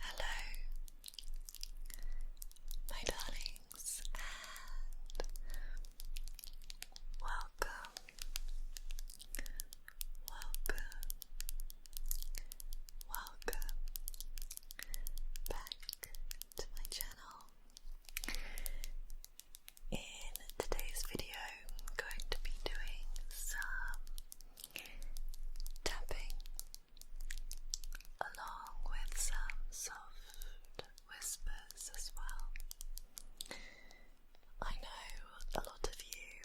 Hello, my darlings, welcome, welcome, Welcome back to my channel. In today's video, I'm going to be doing some tapping along with some soft whispers as well. I know a lot of you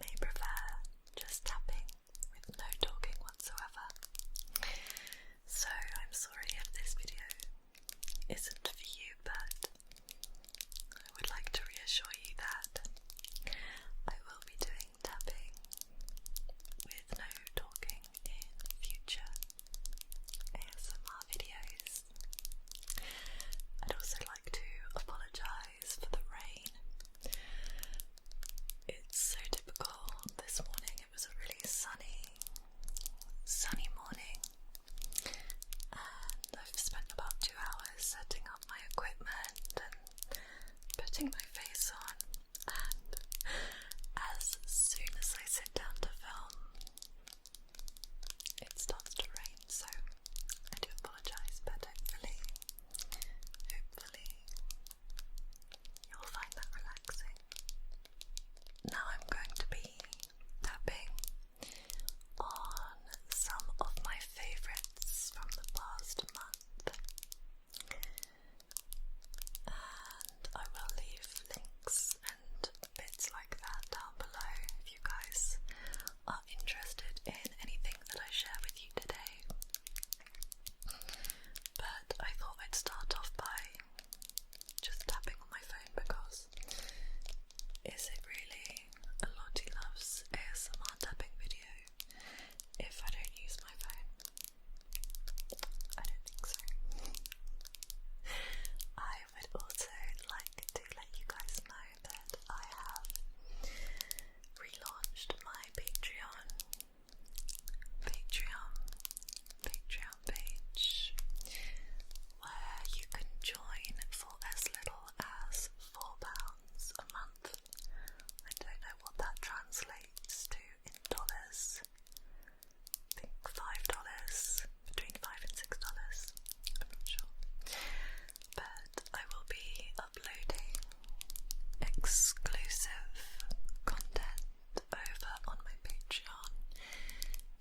may prefer just tapping with no talking whatsoever. So I'm sorry if this video isn't for you, but I would like to reassure you that I will be doing tapping with no talking in future ASMR videos. I'd also like to apologise for the rain. It's so typical. This morning it was a really sunny, sunny morning, and I've spent about two hours setting up my equipment and putting my face on. And as soon as I sit down to film, it starts to rain, so I do apologise, but hopefully Hopefully, you'll find that relaxing. Now, I'm going to be tapping on some of my favorites from the past month, and I will leave links and bits like that down below if you guys are interested in anything that I share with you today. But I thought I'd start off by just tapping on my phone because is it really a Lottie Loves ASMR tapping video if I don't use my phone? I don't think so. I would also like to let you guys know that I have relaunched my Patreon Patreon Patreon page where you can join for as little as four pounds a month. I don't know what that translates to in dollars. I think five dollars, between five and six dollars. I'm not sure. But I will be uploading exclusive content over on my Patreon,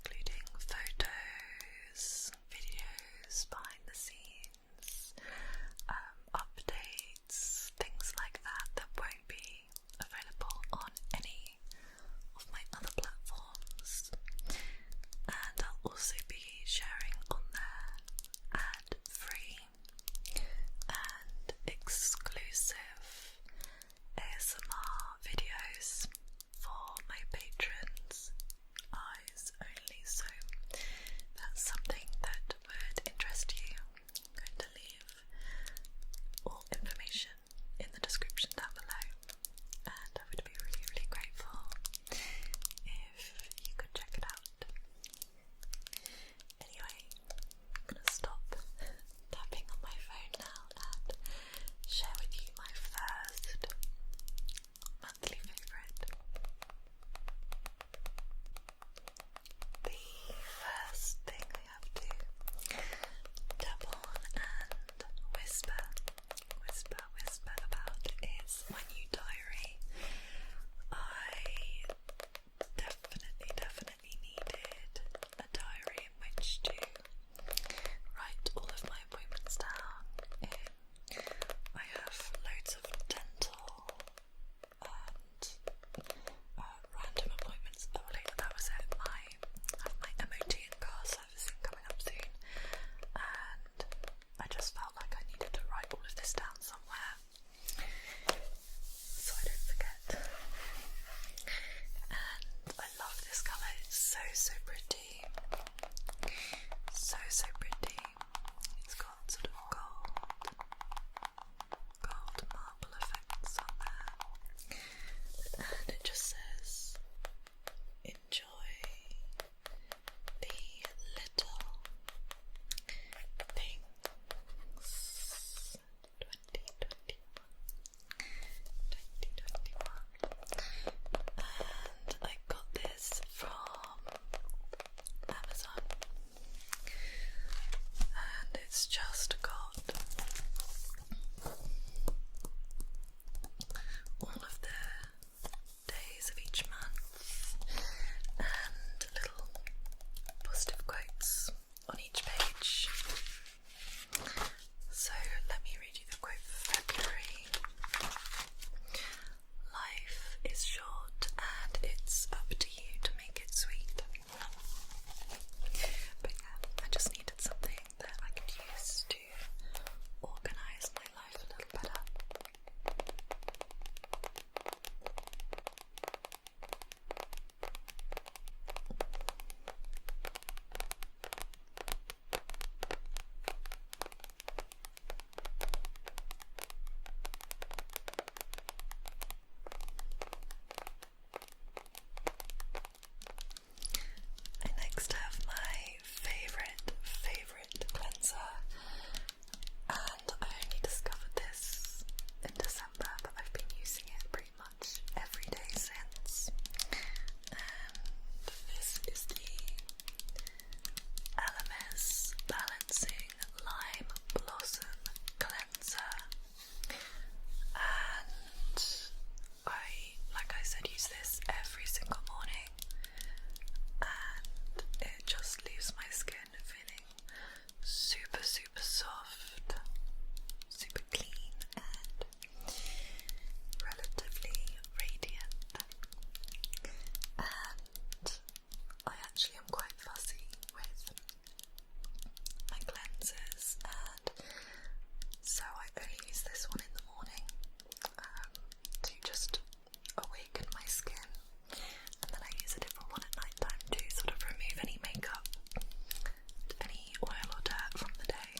including photos, videos, behind the scenes, um, updates, things like that that won't be available on any of my other platforms. And I'll also be sharing on there ad free and exclusive ASMR videos for my patrons' eyes only. So that's something that would interest you. I'm going to leave all information in the description down below, and I would be really, really grateful if you could check it out. Anyway, I'm gonna stop tapping on my phone now and share with you my first monthly favourite. The first thing I have to tap and whisper, whisper, whisper about is my new diary. I definitely, definitely needed a diary in which to write all of my appointments down um, I have loads of dental and uh, random appointments. Oh, later, that was it. I have my MOT and car servicing coming up soon, and I just felt like I needed to write all of this down somewhere so I don't forget. And I love this colour, it's so so pretty. So so pretty. It's got sort of gold gold marble effects on there. And it just says enjoy the little things 2021 2021 and I got this from Amazon and it's just got all of their days of each month and little positive quotes on each page. So let me read you the quote for February. Life is short and it's up to you to make it sweet. But I just needed something that I could use to organise my life a little better. I next have my favorite, favorite cleanser and I only discovered this in December, but I've been using it pretty much every day since. And this is the LMS Balancing Lime Blossom Cleanser, and I, like I said, use this every single morning and it just leaves my skin feeling super, super soft, super clean, and relatively radiant. And I actually am quite fussy with my cleansers, and so I only use this one in the morning um, to just awaken my skin, and then I use a different one at night time to sort of remove any makeup, any oil or dirt from the day.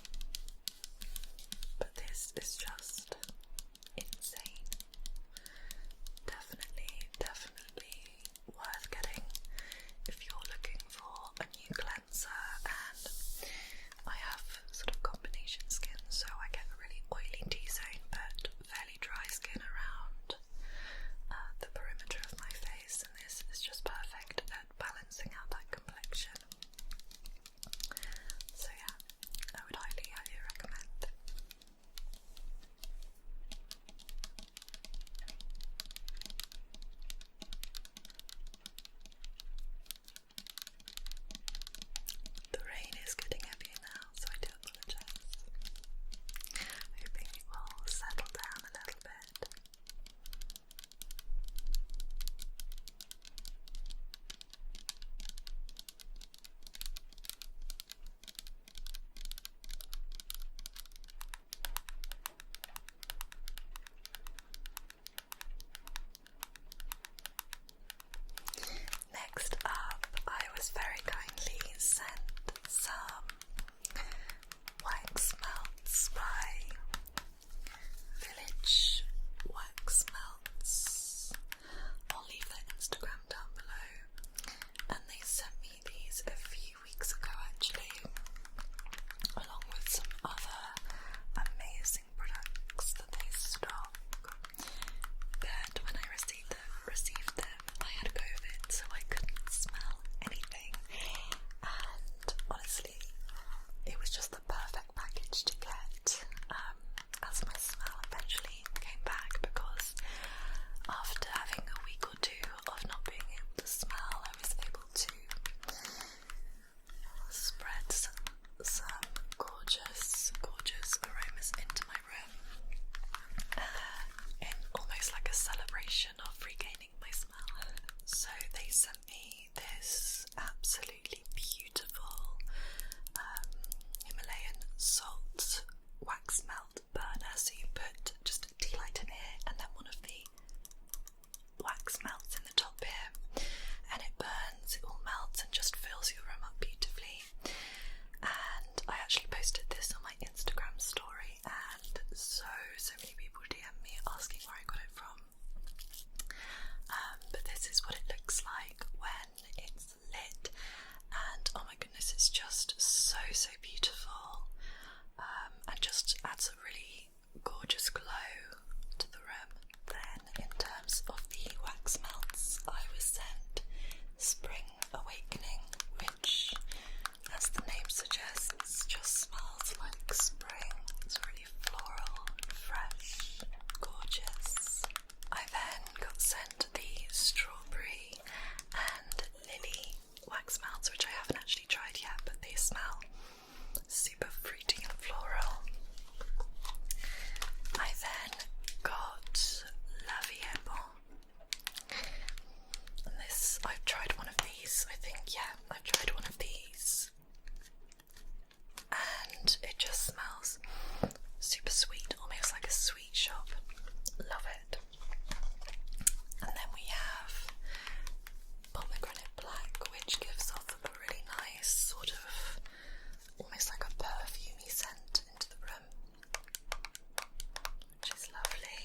But this is just insane. Definitely, definitely worth getting if you're looking for a new cleanser. And I have sort of combination skin, so I get a really oily T-zone, but fairly dry skin around uh, the perimeter of my face, and this is just perfect at balancing out that complexion. So yeah, I would highly, highly recommend. The rain is getting heavier now, so I do apologize. Hoping it will settle down a little bit. Next up, I was very kindly sent some wax melts by Village Wax Melts. I'll leave their Instagram down below. And they sent me these a few weeks ago, actually, along with some other amazing products that they stock. But when I received them, received them, I had COVID, so I couldn't smell anything. And honestly, it was just the perfect package to get. Um, as my smell eventually came back, because after having a week or two of not being able to smell, I was able to spread some some gorgeous, gorgeous aromas into my room in uh, almost like a celebration of regaining my smell. So they sent me this absolutely beautiful um, Himalayan salt wax melt burner. So you put just a tea light in here and then one of the wax melts in the top here, and it burns it all melts and just fills your room up beautifully. And I actually posted this on my Instagram story, and so so many people DM me asking where I got it from. Um, but this is what it looks like when it's lit, and oh my goodness, it's just so so beautiful, um, and just adds a really gorgeous glow to the room. Then, in terms of the wax melts, I was sent Spring Awakening, which, as the name suggests, just smells like spring. It's really floral, fresh, gorgeous. I then got sent the strawberry and lily wax melts, which I haven't actually tried yet, but they smell super fruity floral. I then got La this, I've tried one of these, I think, yeah, I've tried one of these. And it just smells super sweet, almost like a sweet shop. Love it. And then we have pomegranate black, which gives off a really nice sort of almost like a perfumey scent into the room, which is lovely.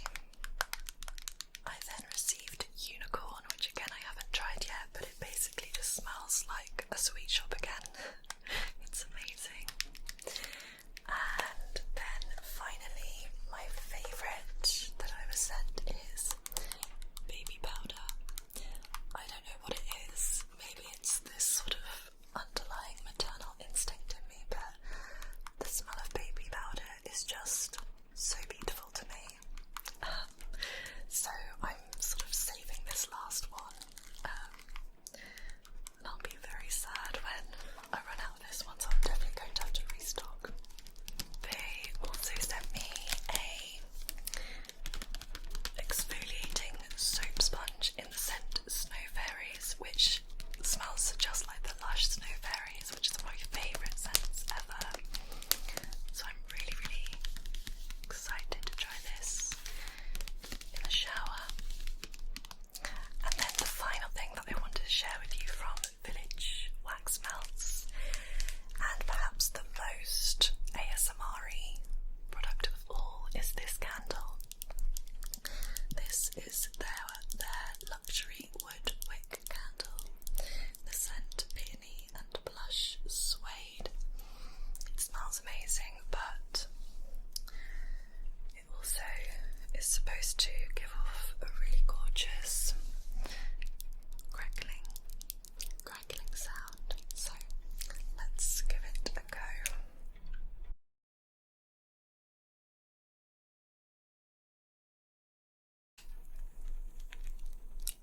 I then received Unicorn, which again I haven't tried yet, but it basically just smells like a sweet shop again. it's amazing. And then finally, my favourite that I was sent is baby powder. I don't know what it is. Maybe it's this sort of underlying maternal instinct in me, but the smell of baby powder is just so beautiful to me. Um, so I'm sort of saving this last one. Um, and I'll be very sad when I run out of this one, so I'm definitely going to have to restock. They also sent me a exfoliating soap sponge in the scent Snow Fairies, which smells just like the Lush Snow Fairies, which is one of my favourite scents ever. So I'm really, really excited to try this in the shower. And then the final thing that I want to share with you from Village Wax Melts, and perhaps the most ASMR Samari product of all is this candle. This is their their luxury wood wick candle. The scent peony and blush suede. It smells amazing, but it also is supposed to give off a really gorgeous crackling crackling sound. So let's give it a go.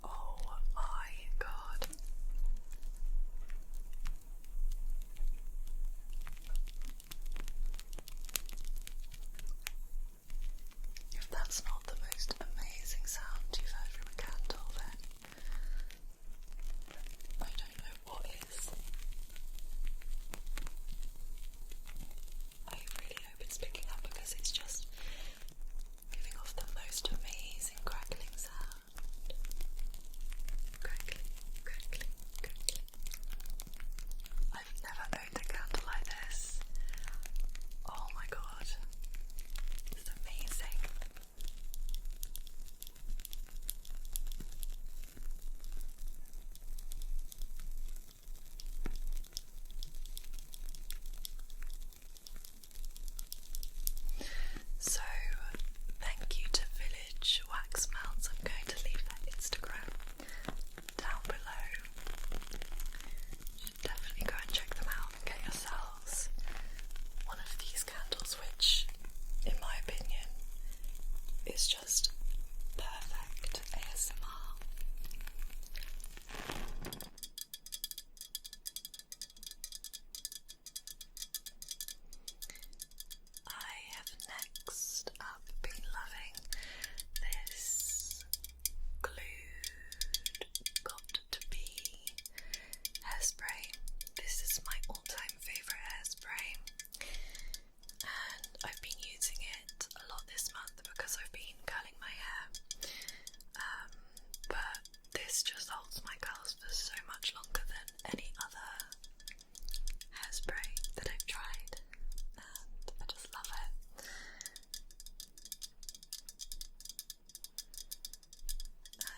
Oh my god. that's not the most amazing sound you've heard from a candle, then I don't know what is. I really hope it's picking up because it's just giving off the most amazing crackling sound. Crackling, crackling, crackling. I've never owned a candle like this. Oh my god. It's amazing. So, thank you to Village Wax Melts. I'm going to leave their Instagram down below definitely go and check them out get yourselves one of these candles, which, in my opinion, is just perfect ASMR. I have next up been loving this glued got to be hairspray. This is my all-time favorite hairspray, and I've been using it a lot this month because I've been curling my hair. Um, but this just holds my curls for so much longer than any other hairspray that I've tried, and I just love it.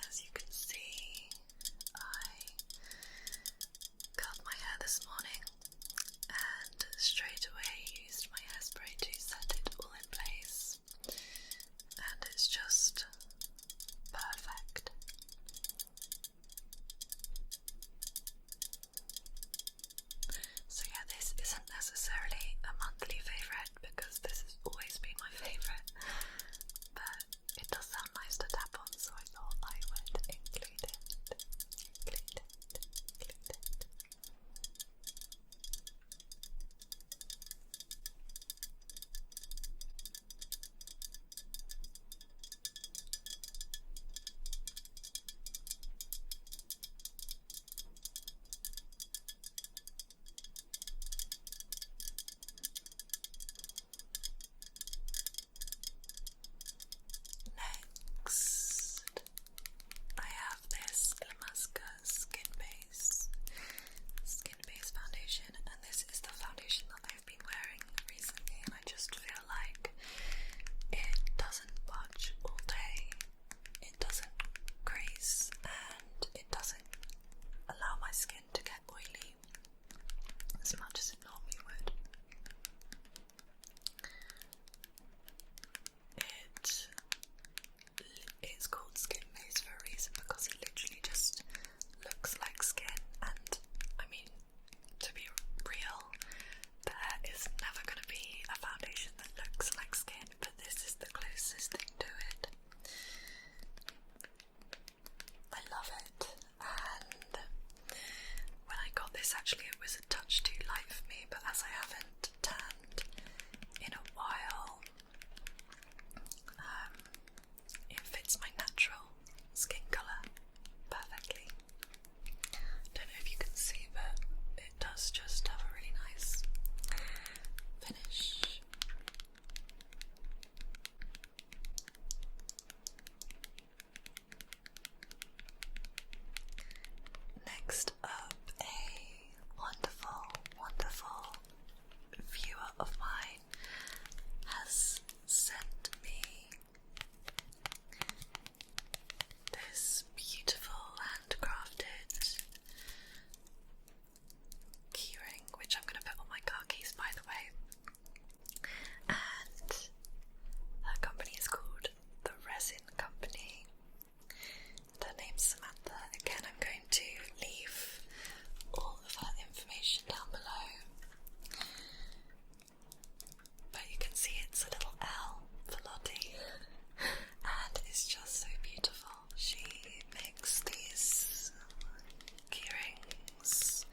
As you can see, I cut my hair this morning and straight away used my hairspray to set it all in place, and it's just perfect. So, yeah, this isn't necessarily a monthly favourite because this has always been my favourite. But it does sound nice to tap on, so I thought I would include it. Include it. Include it. Next, I have this Lamaska Skin Base Skin Base Foundation, and this is the foundation that I've been wearing recently, I just feel like it doesn't budge all day it doesn't crease and it doesn't allow my skin to get oily as much as it normally would. It is called Skin Maze for a reason because it literally just looks like skin, and I mean, to be real, there is never going to be a foundation that looks like skin but this is the closest thing to it. I love it, and when I got this, actually, it was a touch too light for me, but as I haven't tanned in a while, um, it fits my natural skin colour perfectly. Don't know if you can see, but it does just have a really nice finish. Next up, a wonderful, wonderful viewer of mine has sent me this beautiful handcrafted keyring, which I'm going to put on my car keys, by the way. And her company is called The Resin Company. Their name's Samantha. Again, I'm going to leave all of her information down below. But you can see it's a little L for Lottie, and it's just so beautiful. She makes these earrings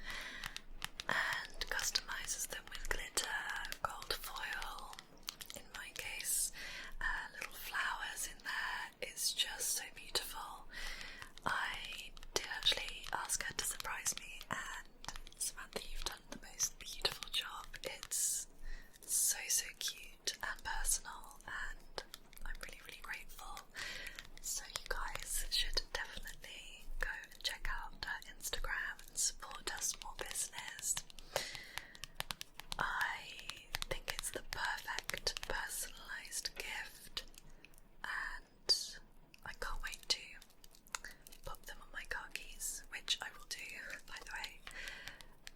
and customizes them with glitter, gold foil, in my case, uh, little flowers in there. It's just so beautiful. I did actually ask her to surprise me, and Samantha, you've done the most beautiful job. It's so so cute and personal and I'm really really grateful. So you guys should definitely go and check out our Instagram and support our small business. I think it's the perfect personalized gift and I can't wait to pop them on my car keys, which I will do by the way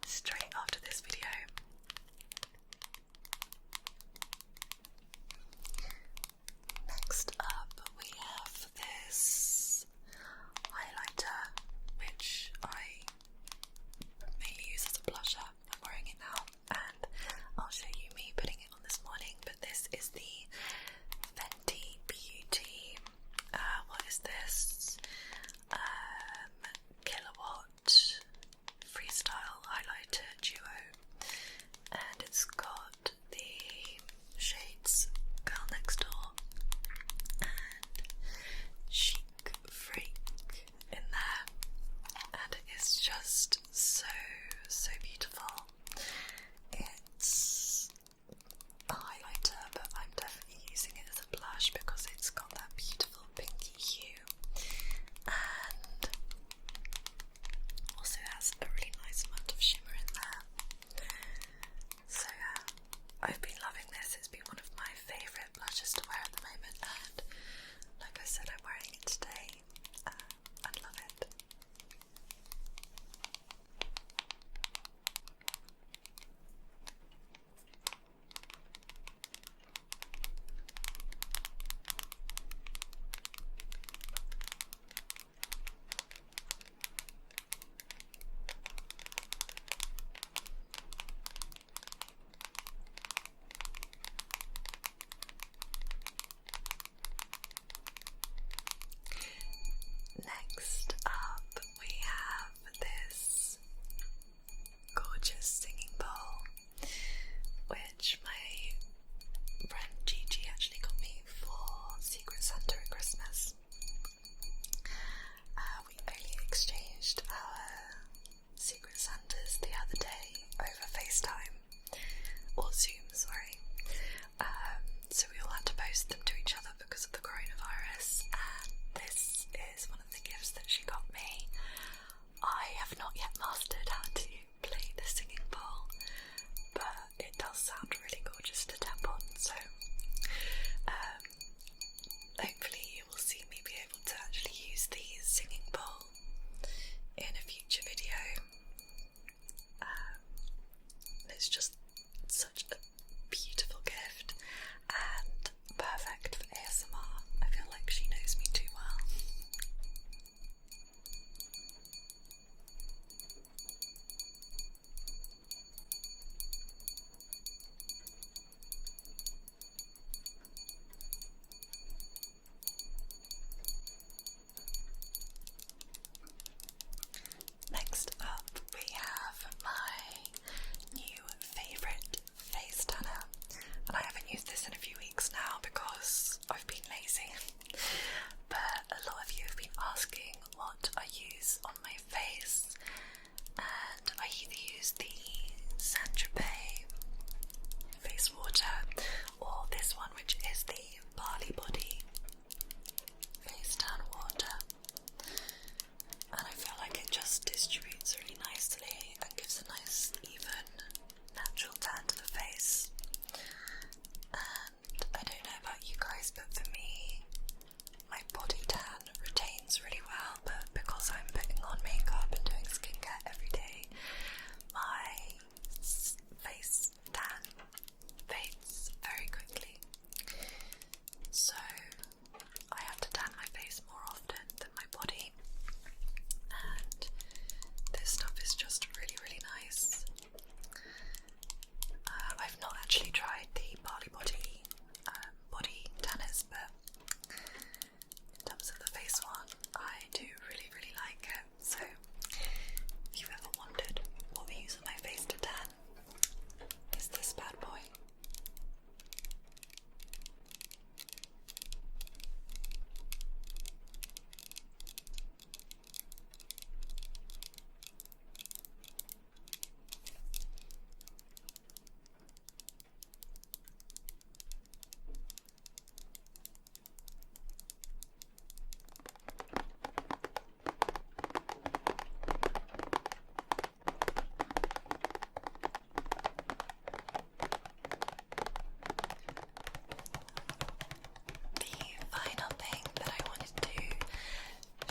straight after this video. Next up, we have this highlighter, which I mainly use as a blusher. I'm wearing it now, and I'll show you me putting it on this morning. But this is the Fenty Beauty uh, what is this? Um, kilowatt Freestyle Highlighter Duo, and it's got the shades Girl Next Door and Chic Freak in there, and it is just so so beautiful. It's a highlighter, but I'm definitely using it blush because it's got that beautiful pinky hue and also has a really nice amount of shimmer in there. So, yeah, I've been loving this, it's been one of my favourite blushes to wear at the moment, and like I said, I'm wearing it today. Uh, I love it. Next up, we have this gorgeous singing bowl, which my friend Gigi actually got me for Secret Santa at Christmas. Uh, we only exchanged our Secret Santas the other day over FaceTime or Zoom, sorry. Um, so we all had to post them to each other because of the coronavirus, this is one of the gifts that she got me. I have not yet mastered how to play the singing bowl, but it does sound really gorgeous to tap on, so um, hopefully, you will see me be able to actually use the singing bowl in a future video. Um, it's just such a beautiful gift and perfect for ASMR. I feel like she knows me too well. Next up, we have my new favourite face tanner, and I haven't used this in a few weeks now because I've been lazy. But a lot of you have been asking what I use on my face, and I either use the Saint face water or this one, which is the Barley Body face tan water. And I feel like it just distributes really nicely and gives a nice, even, natural tan to the face. And I don't know about you guys, but for me, my body tan retains really well, but because I'm putting on makeup and doing skincare every day, my face tan fades very quickly. So I have to tan my face more often than my body, and this stuff is just really, really nice. Uh, I've not actually tried the Barley Body um, body tanners, but in terms of the face one, I do really, really like it. So, if you've ever wondered what we use on my face to tan, is this bad boy. The final thing that I wanted to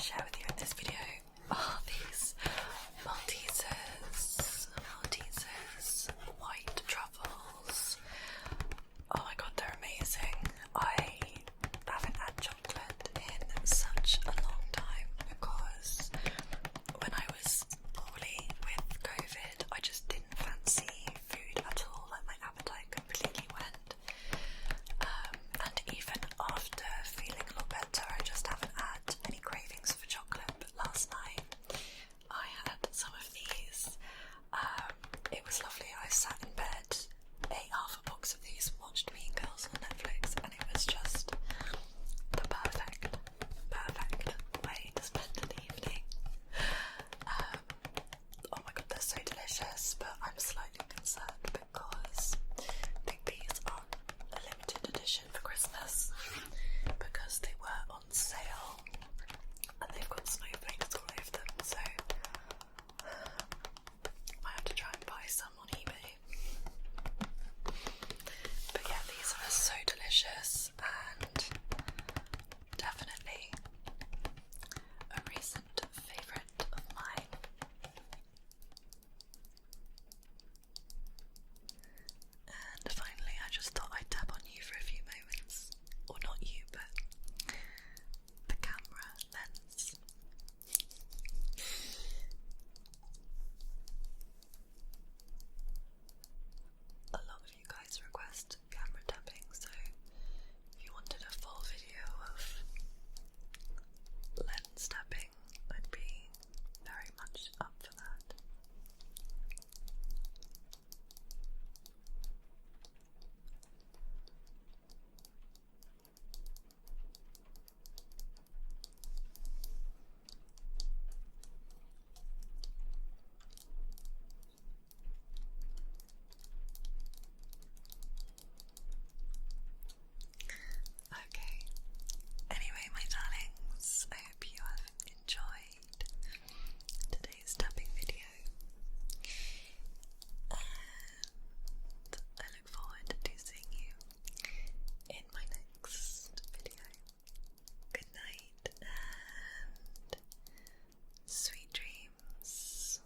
share with you in this video are these Maltesers, Maltesers, white truffles. Oh my god, they're amazing. I haven't had chocolate in such a long time because when I was poorly with COVID, I just didn't fancy food at all. Like my appetite completely went. Um, and even after feeling a lot better, I just haven't had any cravings for chocolate. last night, I had some of these. Um, it was lovely. I sat in bed ate half a box of these, watched Mean Girls on Netflix, and it was just the perfect, perfect way to spend an evening. Um, oh my god, they're so delicious, but I'm slightly concerned because these are a limited edition for Christmas because they were on sale and they've got snowflakes all over them, so I have to try and buy some on eBay. But yeah, these are so delicious and definitely a recent favourite of mine. And finally, I just thought I'd tap on you for a few moments. Or not you, but the camera lens. A lot of you guys request camera tapping, so if you wanted a full video of lens tapping, I'd be very much up for that. Okay. Anyway, my darlings, I hope you have enjoyed today's tapping video look forward to seeing you in my next video. Good night and sweet dreams.